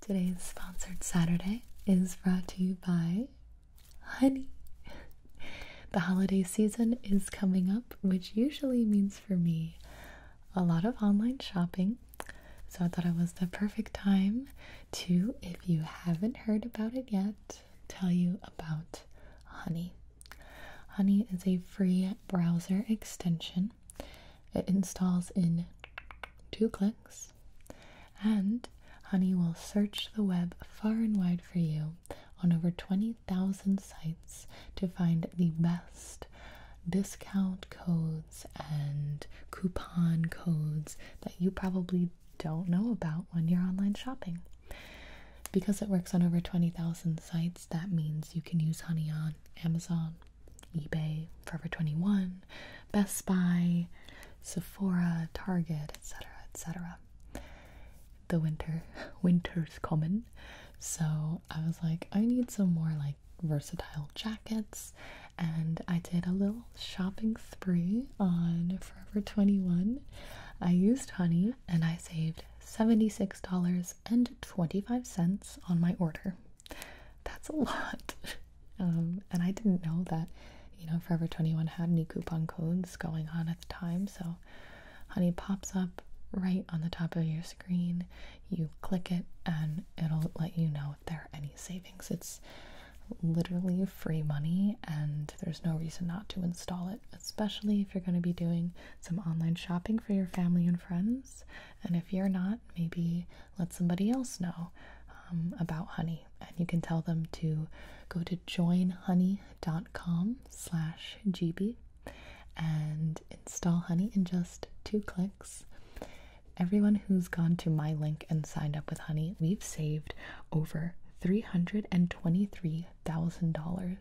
Today's sponsored Saturday is brought to you by Honey. the holiday season is coming up, which usually means for me a lot of online shopping. So I thought it was the perfect time to, if you haven't heard about it yet, tell you about Honey. Honey is a free browser extension it installs in two clicks, and Honey will search the web far and wide for you on over 20,000 sites to find the best discount codes and coupon codes that you probably don't know about when you're online shopping. Because it works on over 20,000 sites, that means you can use Honey on Amazon, eBay, Forever 21, Best Buy, Sephora, Target, etc., etc. The winter, winter is coming, so I was like, I need some more like versatile jackets, and I did a little shopping spree on Forever 21. I used Honey, and I saved $76.25 on my order. That's a lot. Um, and I didn't know that, you know, Forever 21 had any coupon codes going on at the time. So Honey pops up right on the top of your screen. You click it and it'll let you know if there are any savings. It's literally free money and there's no reason not to install it, especially if you're going to be doing some online shopping for your family and friends. And if you're not, maybe let somebody else know um, about honey and you can tell them to go to joinhoney.com slash gb and install honey in just two clicks everyone who's gone to my link and signed up with honey we've saved over $323000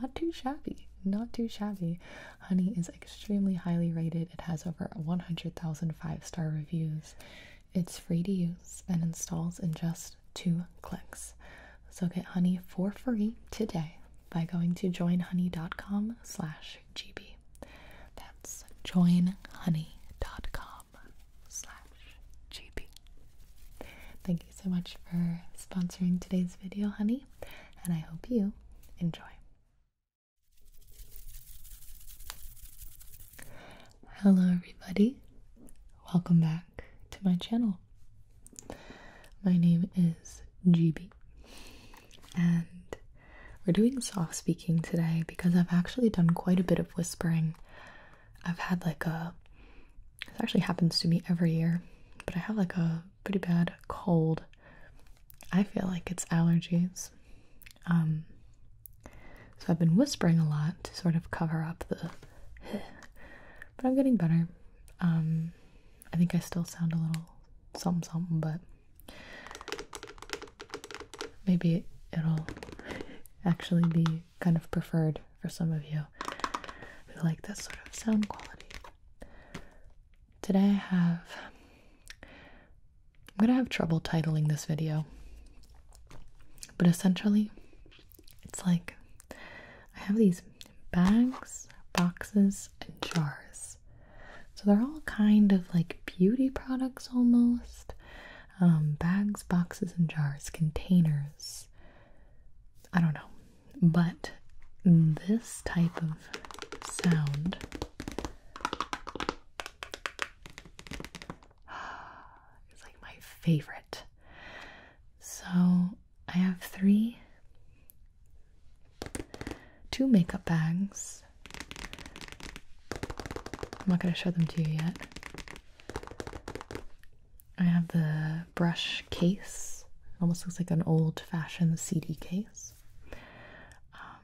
not too shabby not too shabby Honey is extremely highly rated. It has over 100,000 star reviews. It's free to use and installs in just two clicks. So get Honey for free today by going to joinhoney.com slash gb. That's joinhoney.com slash gb. Thank you so much for sponsoring today's video, honey, and I hope you enjoy. Hello, everybody. Welcome back to my channel. My name is GB, and we're doing soft speaking today because I've actually done quite a bit of whispering. I've had like a, this actually happens to me every year, but I have like a pretty bad cold. I feel like it's allergies. Um, so I've been whispering a lot to sort of cover up the. but I'm getting better. Um, I think I still sound a little something something, but maybe it'll actually be kind of preferred for some of you who like this sort of sound quality. Today I have. I'm gonna have trouble titling this video, but essentially, it's like I have these bags, boxes, and jars. So they're all kind of like beauty products almost. Um, bags, boxes, and jars, containers. I don't know. But this type of sound. It's like my favorite. So I have three, two makeup bags. I'm not going to show them to you yet. I have the brush case. almost looks like an old fashioned CD case. Um,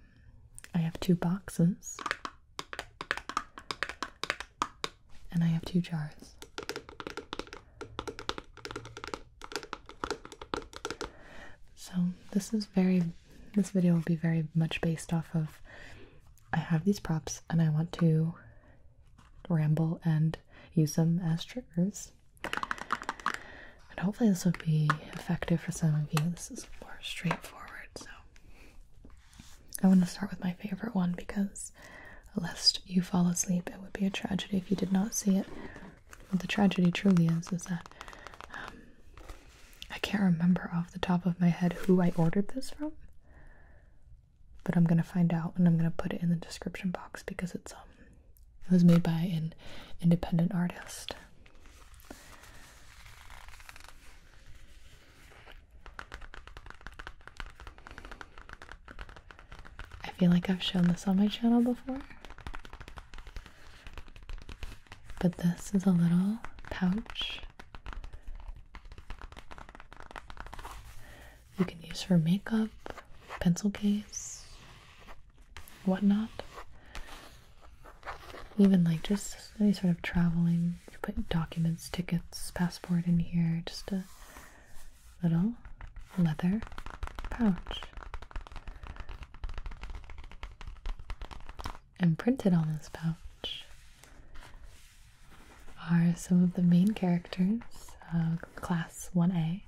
I have two boxes, and I have two jars. So this is very, this video will be very much based off of I have these props and I want to ramble and use them as triggers. And hopefully, this will be effective for some of you. This is more straightforward, so I want to start with my favorite one because, lest you fall asleep, it would be a tragedy if you did not see it. What the tragedy truly is is that um, I can't remember off the top of my head who I ordered this from, but I'm gonna find out and I'm gonna put it in the description box because it's um it was made by an independent artist. I feel like I've shown this on my channel before. But this is a little pouch you can use for makeup, pencil case, whatnot. Even like just any sort of traveling, you put documents, tickets, passport in here, just a little leather pouch. And printed on this pouch are some of the main characters of uh, Class 1A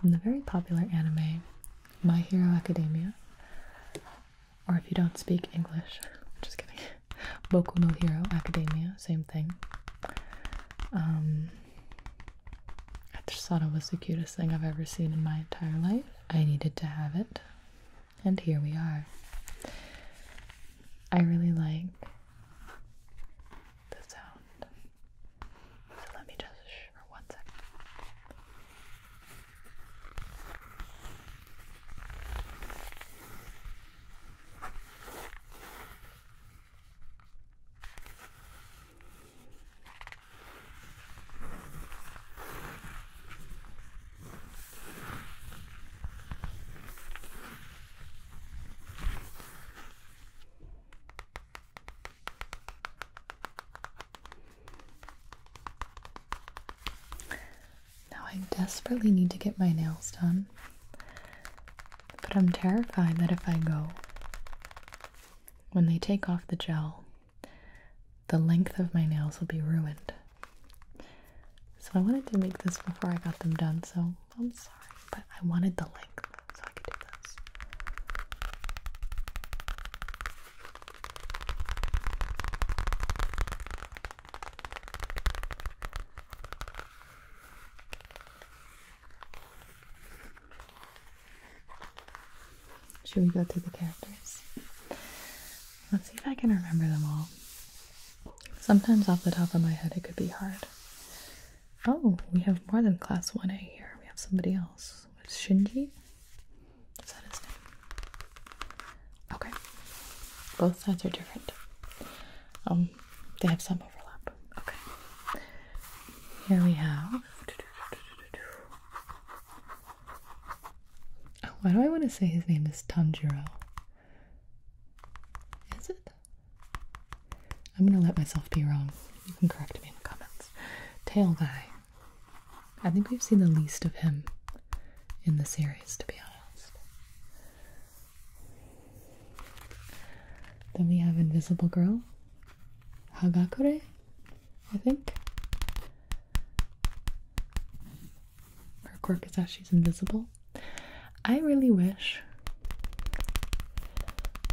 from the very popular anime My Hero Academia. Or if you don't speak English, just kidding, Boku no Hero Academia, same thing. Um, I just thought it was the cutest thing I've ever seen in my entire life. I needed to have it, and here we are. I really like the sound. So let me just for one second. Now I desperately need to get my nails done, but I'm terrified that if I go, when they take off the gel, the length of my nails will be ruined. So I wanted to make this before I got them done, so I'm sorry. but. I wanted the length so I could do this. Should we go through the characters? Let's see if I can remember them all. Sometimes off the top of my head it could be hard. Oh, we have more than class 1A here. We have somebody else. It's Shinji? Is that his name? Okay. Both sides are different. Um, they have some overlap. Okay. Here we have. Oh, why do I want to say his name is Tanjiro? Is it? I'm gonna let myself be wrong. You can correct me in the comments. Tail guy. I think we've seen the least of him in the series, to be honest. Then we have Invisible Girl. Hagakure, I think. Her quirk is that she's invisible. I really wish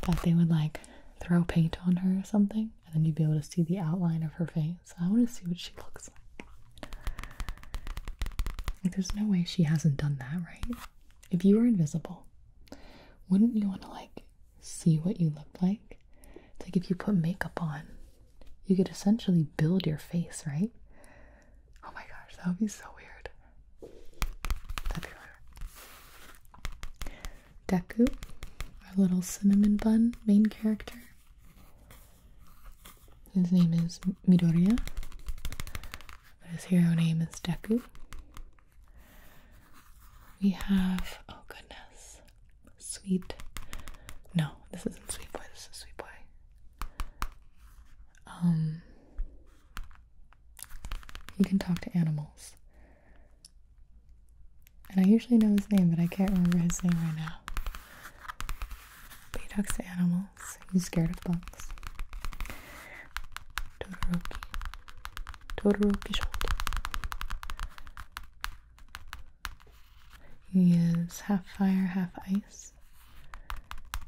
that they would like throw paint on her or something, and then you'd be able to see the outline of her face. I want to see what she looks like. Like, there's no way she hasn't done that, right? If you were invisible, wouldn't you want to like see what you look like? It's like if you put makeup on, you could essentially build your face, right? Oh my gosh, that would be so weird. That'd be weird. Deku, our little cinnamon bun main character. His name is Midoriya, but his hero name is Deku. We have, oh goodness, Sweet. No, this isn't Sweet Boy, this is Sweet Boy. Um, he can talk to animals. And I usually know his name, but I can't remember his name right now. he talks to animals. He's scared of bugs. Todoroki. Todoroki shoulder. He is half fire, half ice.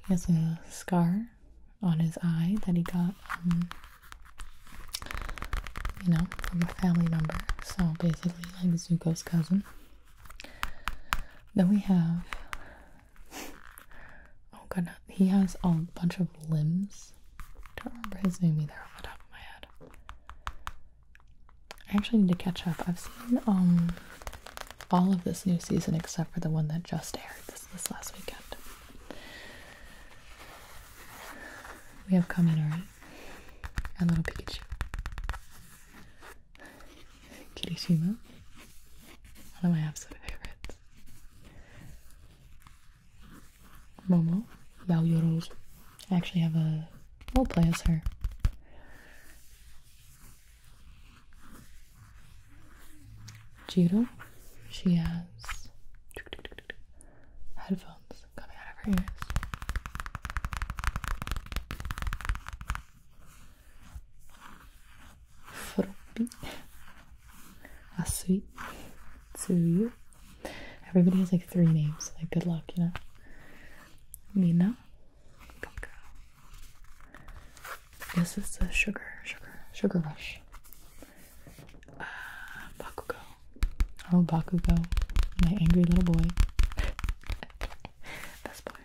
He has a scar on his eye that he got, um, you know, from a family member. So basically, like Zuko's cousin. Then we have. Oh god, he has a bunch of limbs. I don't remember his name either off the top of my head. I actually need to catch up. I've seen um, all of this new season except for the one that just aired this last weekend. We have common, alright? Our little Pikachu. Kirishima. One of my absolute favorites. Momo. Yao Yoros. I actually have a play as her judo. She has headphones coming out of her ears. Froppi, Asui, Tsuyu. Everybody has like three names, like good luck, you know. Mina, good This is the sugar, sugar, sugar rush. Bakugo. Oh, Bakugo. My angry little boy. That's boy.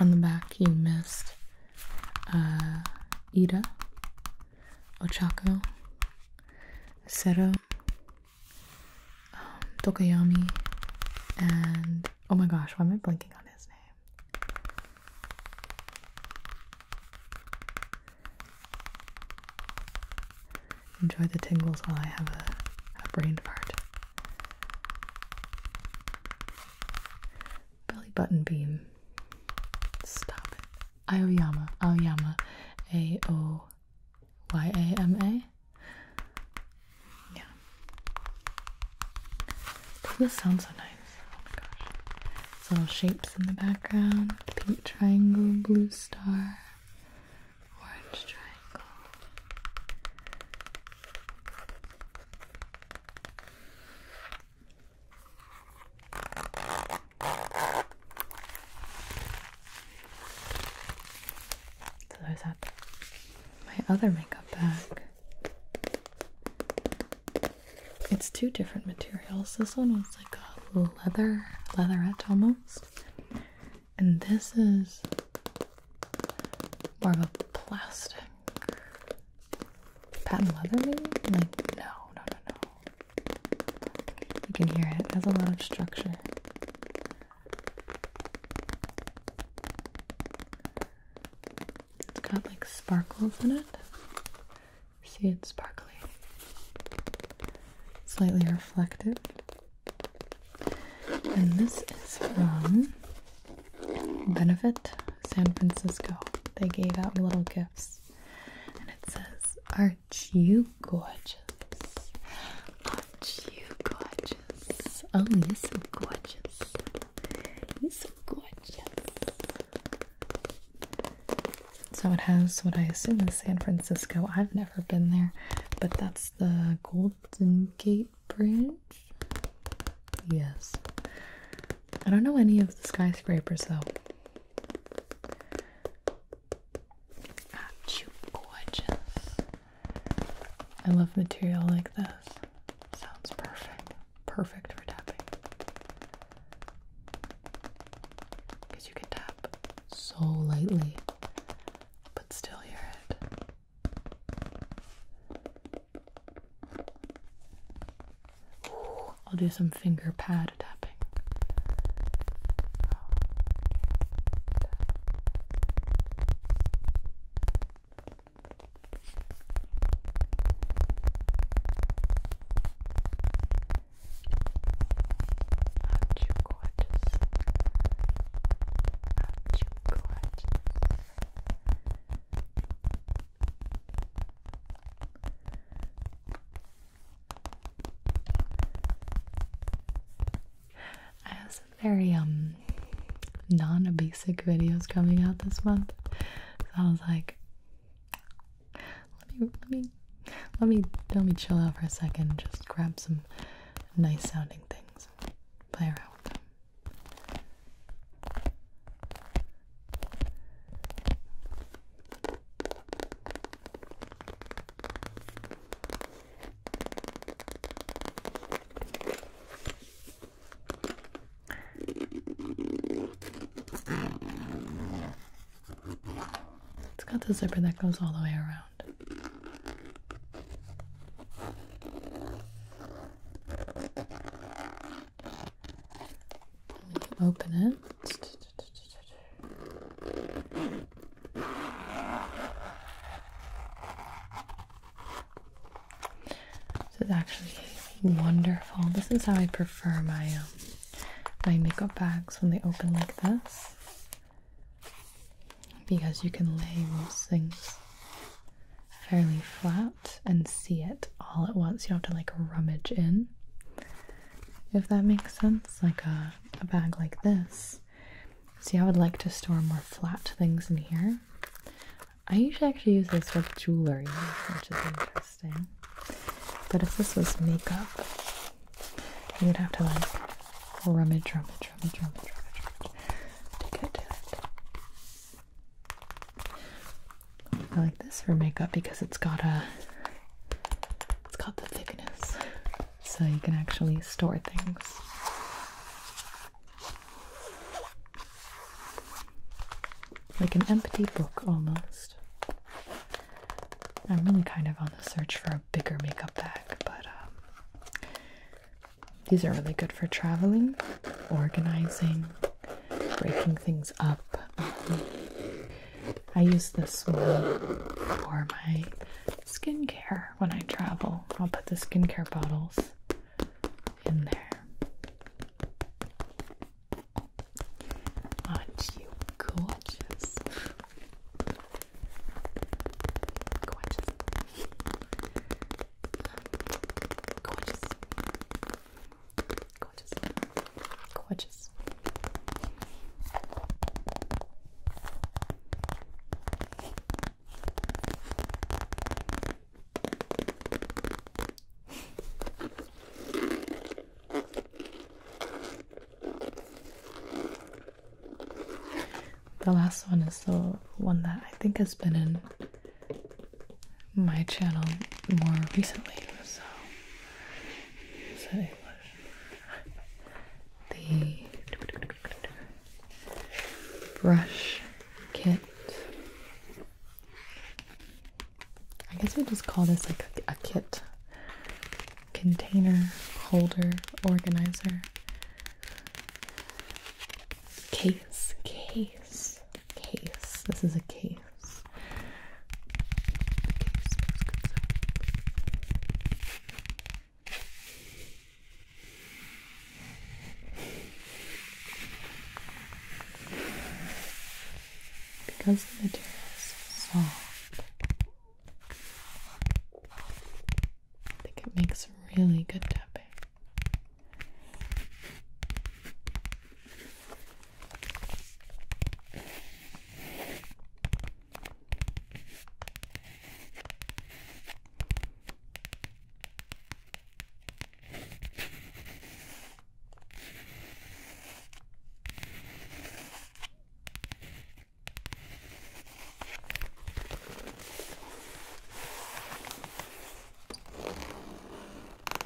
On the back, you missed uh, Ida, Ochako, Sero, um, Tokoyami, and oh my gosh, why am I blinking on his name? Enjoy the tingles while I have a, brain fart. Belly button beam. Stop it. Aoyama. Aoyama. A O Y A M A. Yeah. does this sound so nice? Oh my gosh. It's little shapes in the background. Pink triangle, blue star, orange triangle. So there's that. My other makeup bag. It's two different materials. This one was like a leather, leatherette almost. And this is more of a plastic. Patent leather maybe? Like, no, no, no, no. You can hear it. It has a lot of structure. It's got like sparkles in it. See, it sparkly. Slightly reflective. And this is from Benefit San Francisco. They gave out little gifts. And it says, Aren't you gorgeous? Aren't you gorgeous? Oh, you're so gorgeous. You're so gorgeous. So it has what I assume is San Francisco. I've never been there, but that's the Golden Gate Bridge. Yes. I don't know any of the skyscrapers though. are gorgeous? I love material like this. Sounds perfect perfect for tapping. Because you can tap so lightly, but still hear it. I'll do some finger pad tapping. I have some very um non-obesic videos coming out this month. So I was like, let me let me let me let me chill out for a second. just grab some nice sounding things. Play around with them. It's got the zipper that goes all the way around. open it. This is actually wonderful. This is how I prefer my um, my makeup bags when they open like this, because you can lay those things fairly flat and see it all at once. You don't have to like rummage in. If that makes sense, like a, a bag like this. See, I would like to store more flat things in here. I usually actually use this for jewelry, which is interesting. But if this was makeup, you would have to like rummage, rummage, rummage, rummage, rummage, rummage to get it. I like this for makeup because it's got a it's got the thickness, so you can actually store things. Like an empty book almost. I'm really kind of on the search for a bigger makeup bag, but um, these are really good for traveling, organizing, breaking things up. Um, I use this one for my skincare when I travel. I'll put the skincare bottles in there. Aren't you gorgeous? gorgeous. Gorgeous. Gorgeous. Gorgeous. The last one is the one that I think has been in my channel more recently, so The brush kit I guess we will just call this like a kit container holder organizer case case case this is a case because the material is soft, I think it makes really good tapping.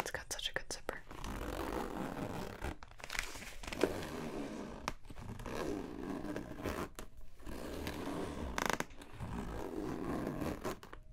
It's got such a good zipper.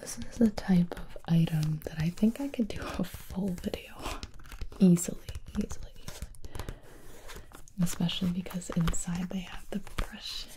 This is the type of item that I think I could do a full video on easily, easily, easily. Especially because inside they have the brushes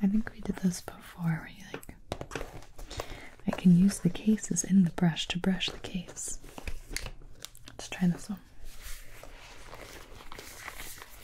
I think we did this before where you like I can use the cases in the brush to brush the case. Let's try this one.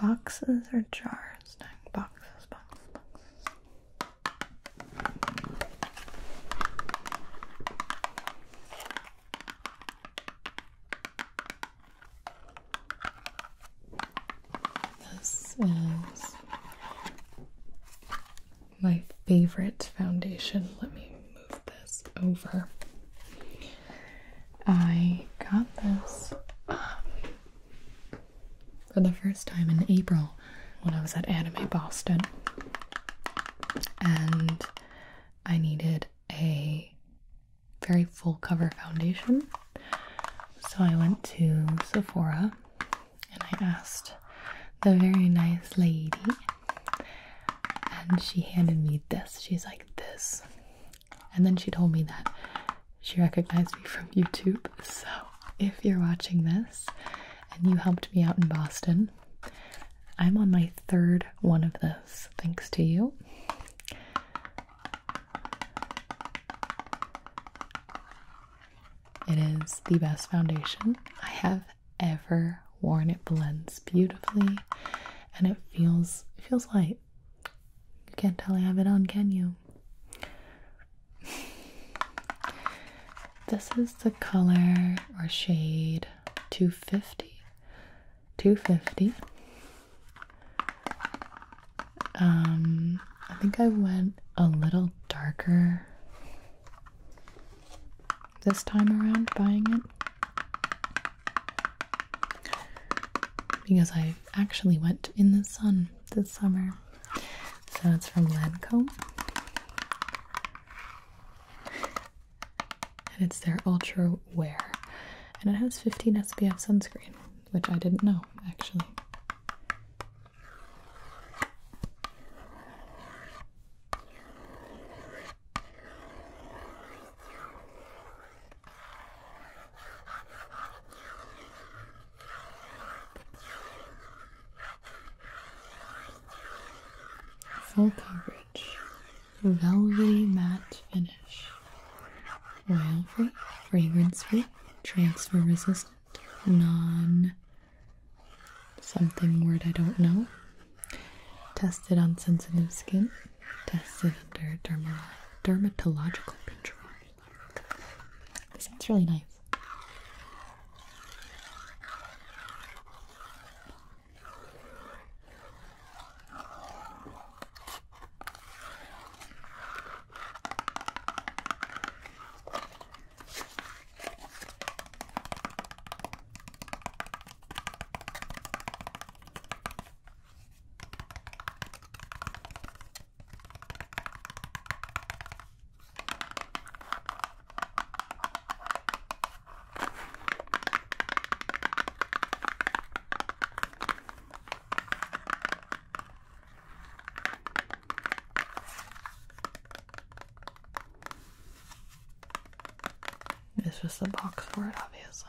Boxes or jars? No, boxes, boxes, boxes. This is my favorite foundation. Let me move this over. I got this um, for the first time in April when I was at Anime Boston. And I needed a very full cover foundation. So I went to Sephora and I asked the very nice lady, and she handed me this. She's like, This. And then she told me that she recognized me from YouTube. So if you're watching this and you helped me out in Boston, I'm on my third one of this, thanks to you. It is the best foundation I have ever worn. It blends beautifully and it feels it feels light. You can't tell I have it on, can you? This is the color or shade 250. 250. Um, I think I went a little darker this time around buying it because I actually went in the sun this summer. So it's from Lancome. And it's their Ultra Wear. And it has 15 SPF sunscreen, which I didn't know actually. Full coverage, velvety matte finish, oil free, fragrance free, transfer resistant, non something word I don't know. Tested on sensitive skin, tested under dermatological control. That sounds really nice. It's just a box for it, obviously.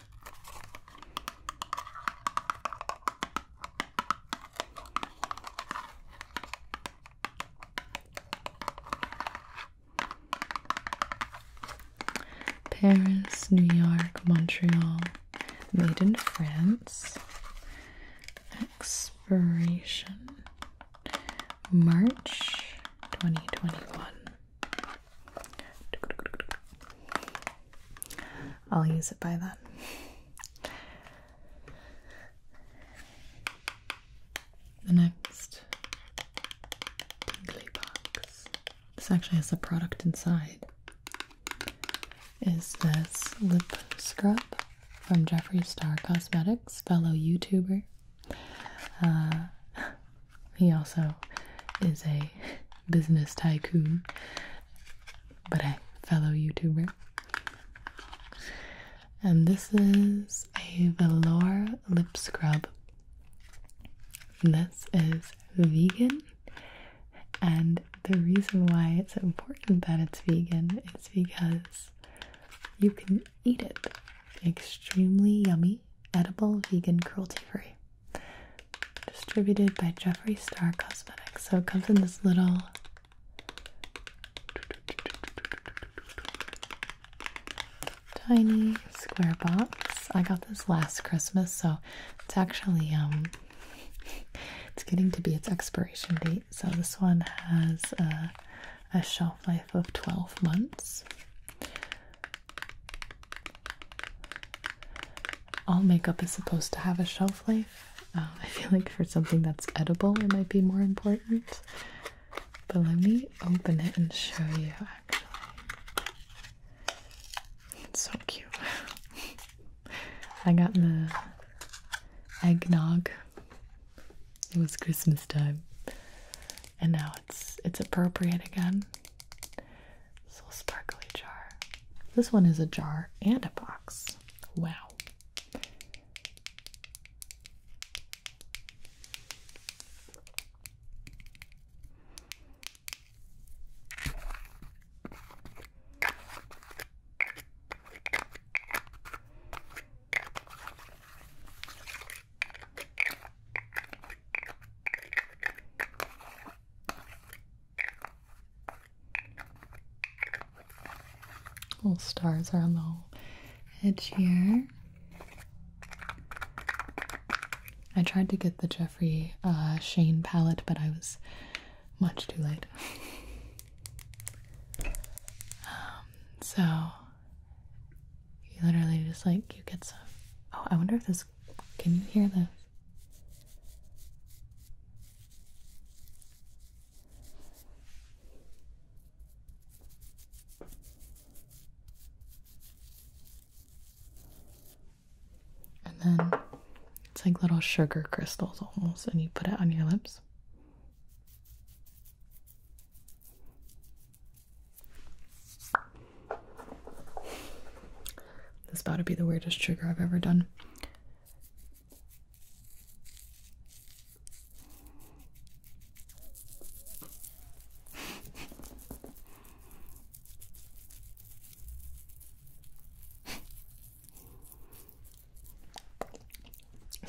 Paris, New York, Montreal, made in France. Expiration March 2021. I'll use it by then. The next tingly box. This actually has a product inside. Is this lip scrub from Jeffree Star Cosmetics, fellow YouTuber? Uh, he also is a business tycoon, but a fellow YouTuber. And this is a velour lip scrub. This is vegan, and the reason why it's important that it's vegan is because you can eat it. Extremely yummy, edible, vegan, cruelty free. Distributed by Jeffree Star Cosmetics. So it comes in this little tiny square box. I got this last Christmas, so it's actually um it's getting to be its expiration date. So this one has a shelf life of 12 months. All makeup is supposed to have a shelf life. Um, I feel like for something that's edible, it might be more important. But let me open it and show you actually. It's so cute. I got the eggnog. It was Christmas time and now it's it's appropriate again. This little sparkly jar. This one is a jar and a box. Wow. Little stars are on the edge here. I tried to get the Jeffrey uh, Shane palette, but I was much too late. Um, so you literally just like you get some. Oh, I wonder if this. Can you hear this? And then it's like little sugar crystals almost, and you put it on your lips. This about to be the weirdest trigger I've ever done.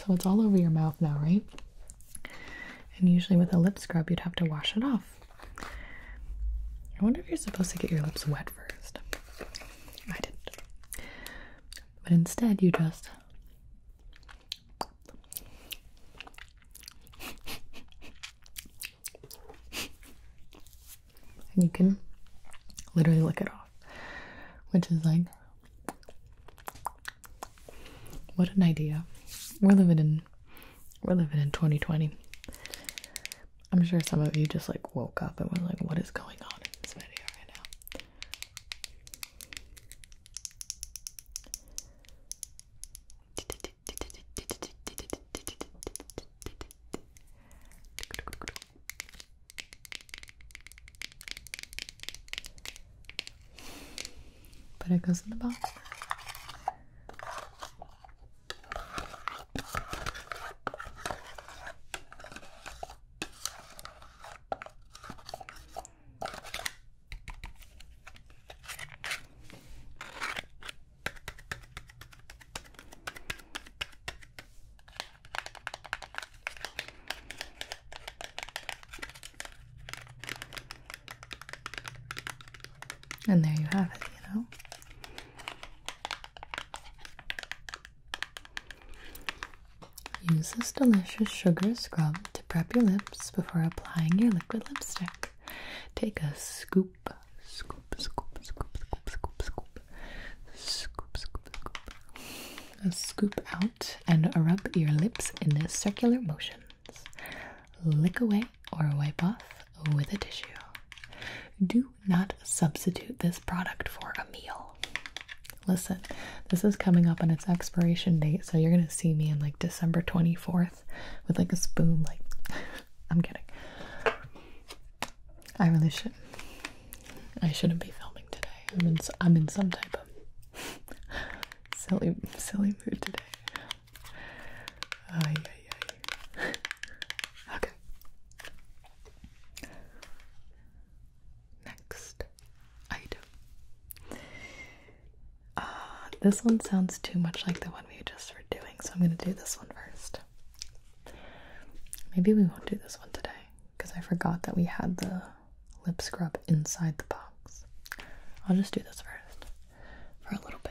So it's all over your mouth now, right? And usually with a lip scrub, you'd have to wash it off. I wonder if you're supposed to get your lips wet first. I didn't. But instead, you just. and you can literally lick it off. Which is like. What an idea. We're living in we're living in 2020. I'm sure some of you just like woke up and were like, what is going on in this video right now? But it goes in the box. And there you have it, you know. Use this delicious sugar scrub to prep your lips before applying your liquid lipstick. Take a scoop, scoop, scoop, scoop, scoop, scoop, scoop, scoop, scoop, scoop, a scoop out and rub your lips in circular motions. Lick away or wipe off with a tissue. Do not substitute this product for a meal. Listen, this is coming up on its expiration date, so you're gonna see me in like December 24th with like a spoon. Like, I'm kidding. I really should. I shouldn't be filming today. I'm in. I'm in some type of silly, silly mood today. okay. Next item. Uh, this one sounds too much like the one we just were doing, so I'm going to do this one first. Maybe we won't do this one today because I forgot that we had the lip scrub inside the box. I'll just do this first for a little bit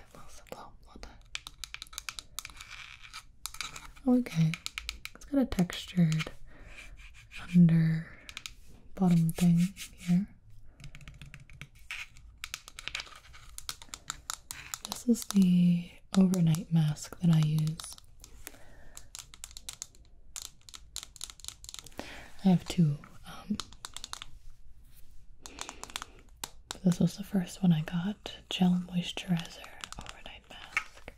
Okay. It's got a textured under bottom thing here. This is the overnight mask that I use. I have two. Um, this was the first one I got gel moisturizer overnight mask.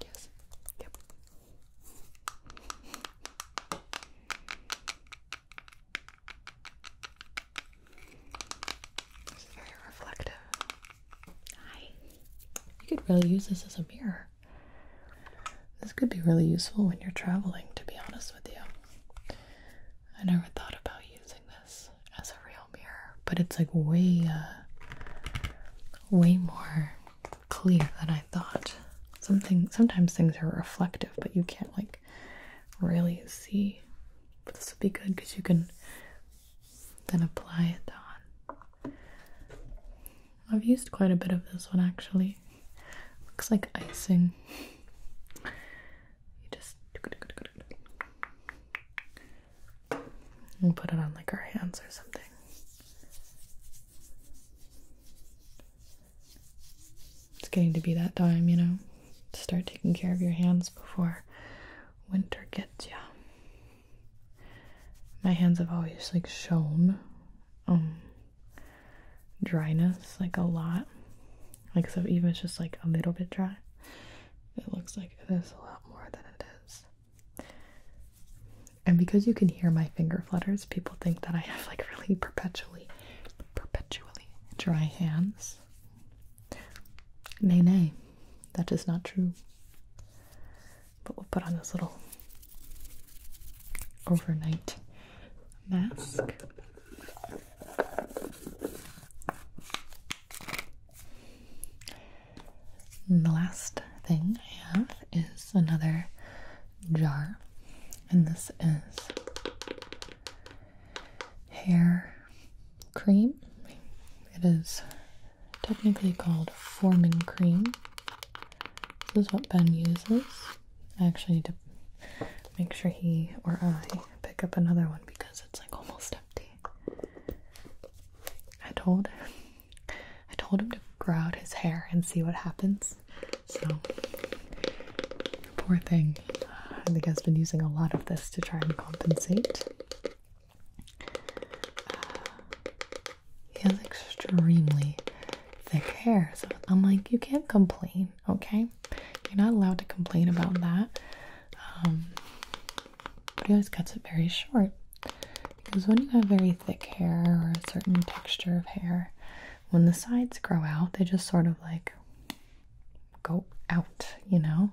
Yes. Yep. This very reflective. Hi. You could really use this as a mirror. This could be really useful when you're traveling, to be honest with you. I never thought about using this as a real mirror, but it's like way, uh, way more clear than I thought. Something sometimes things are reflective, but you can't like really see. But this would be good because you can then apply it on. I've used quite a bit of this one actually. Looks like icing. You just and put it on like our hands or something. It's getting to be that time, you know, start taking care of your hands before winter gets you. My hands have always like shown um dryness like a lot like so even it's just like a little bit dry it looks like it is a lot more than it is and because you can hear my finger flutters people think that i have like really perpetually perpetually dry hands nay nay that is not true but we'll put on this little overnight mask. And the last thing I have is another jar, and this is hair cream. It is technically called forming cream. This is what Ben uses. I actually need to make sure he or I pick up another one because it's like almost empty. I told him, I told him to grow out his hair and see what happens. So poor thing. I think has been using a lot of this to try and compensate. Uh, he has extremely thick hair. So I'm like, you can't complain, okay? You're not allowed to complain about that. Um, but he always cuts it very short. Because when you have very thick hair or a certain texture of hair, when the sides grow out, they just sort of like go out, you know?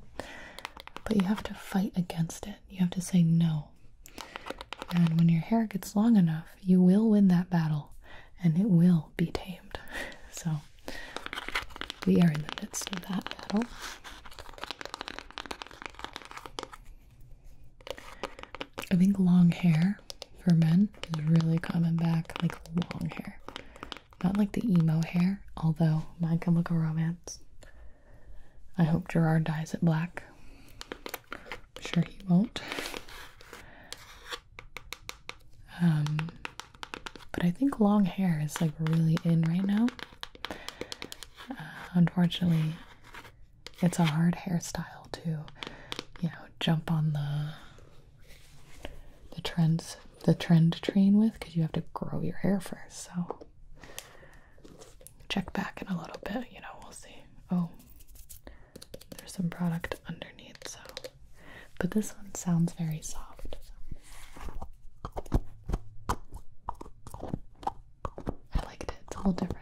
But you have to fight against it. You have to say, no, and when your hair gets long enough, you will win that battle and it will be tamed. So we are in the midst of that battle. I think long hair for men is really coming back, like long hair. Not like the emo hair, although mine can look a romance. I hope Gerard dyes it black. I'm sure he won't. Um, but I think long hair is like really in right now. Uh, unfortunately, it's a hard hairstyle to, you know, jump on the the trends the trend train with because you have to grow your hair first. So check back in a little bit, you know, we'll see. Oh, there's some product underneath, so. But this one sounds very soft. I liked it, it's a little different.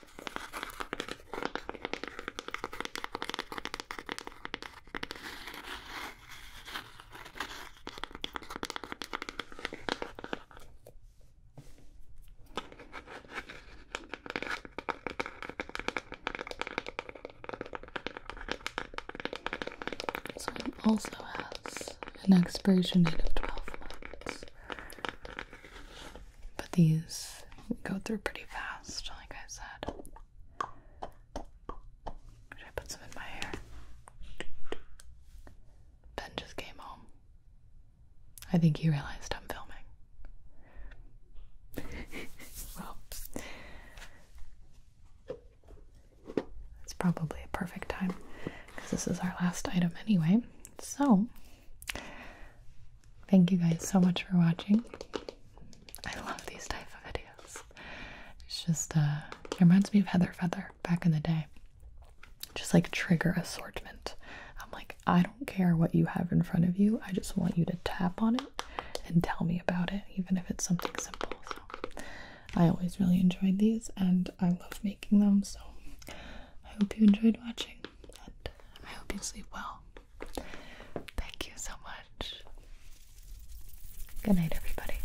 This one also has an expiration date of 12 months. But these go through pretty fast, like I said. Should I put some in my hair? Ben just came home. I think he realized I'm filming. well, it's probably a perfect time because this is our last item anyway. So, Thank you guys so much for watching. I love these type of videos. It's just, uh, it reminds me of Heather Feather back in the day. Just like trigger assortment. I'm like, I don't care what you have in front of you. I just want you to tap on it and tell me about it, even if it's something simple. I always really enjoyed these and I love making them. So I hope you enjoyed watching. I hope you sleep well. Thank you so much. Good night, everybody.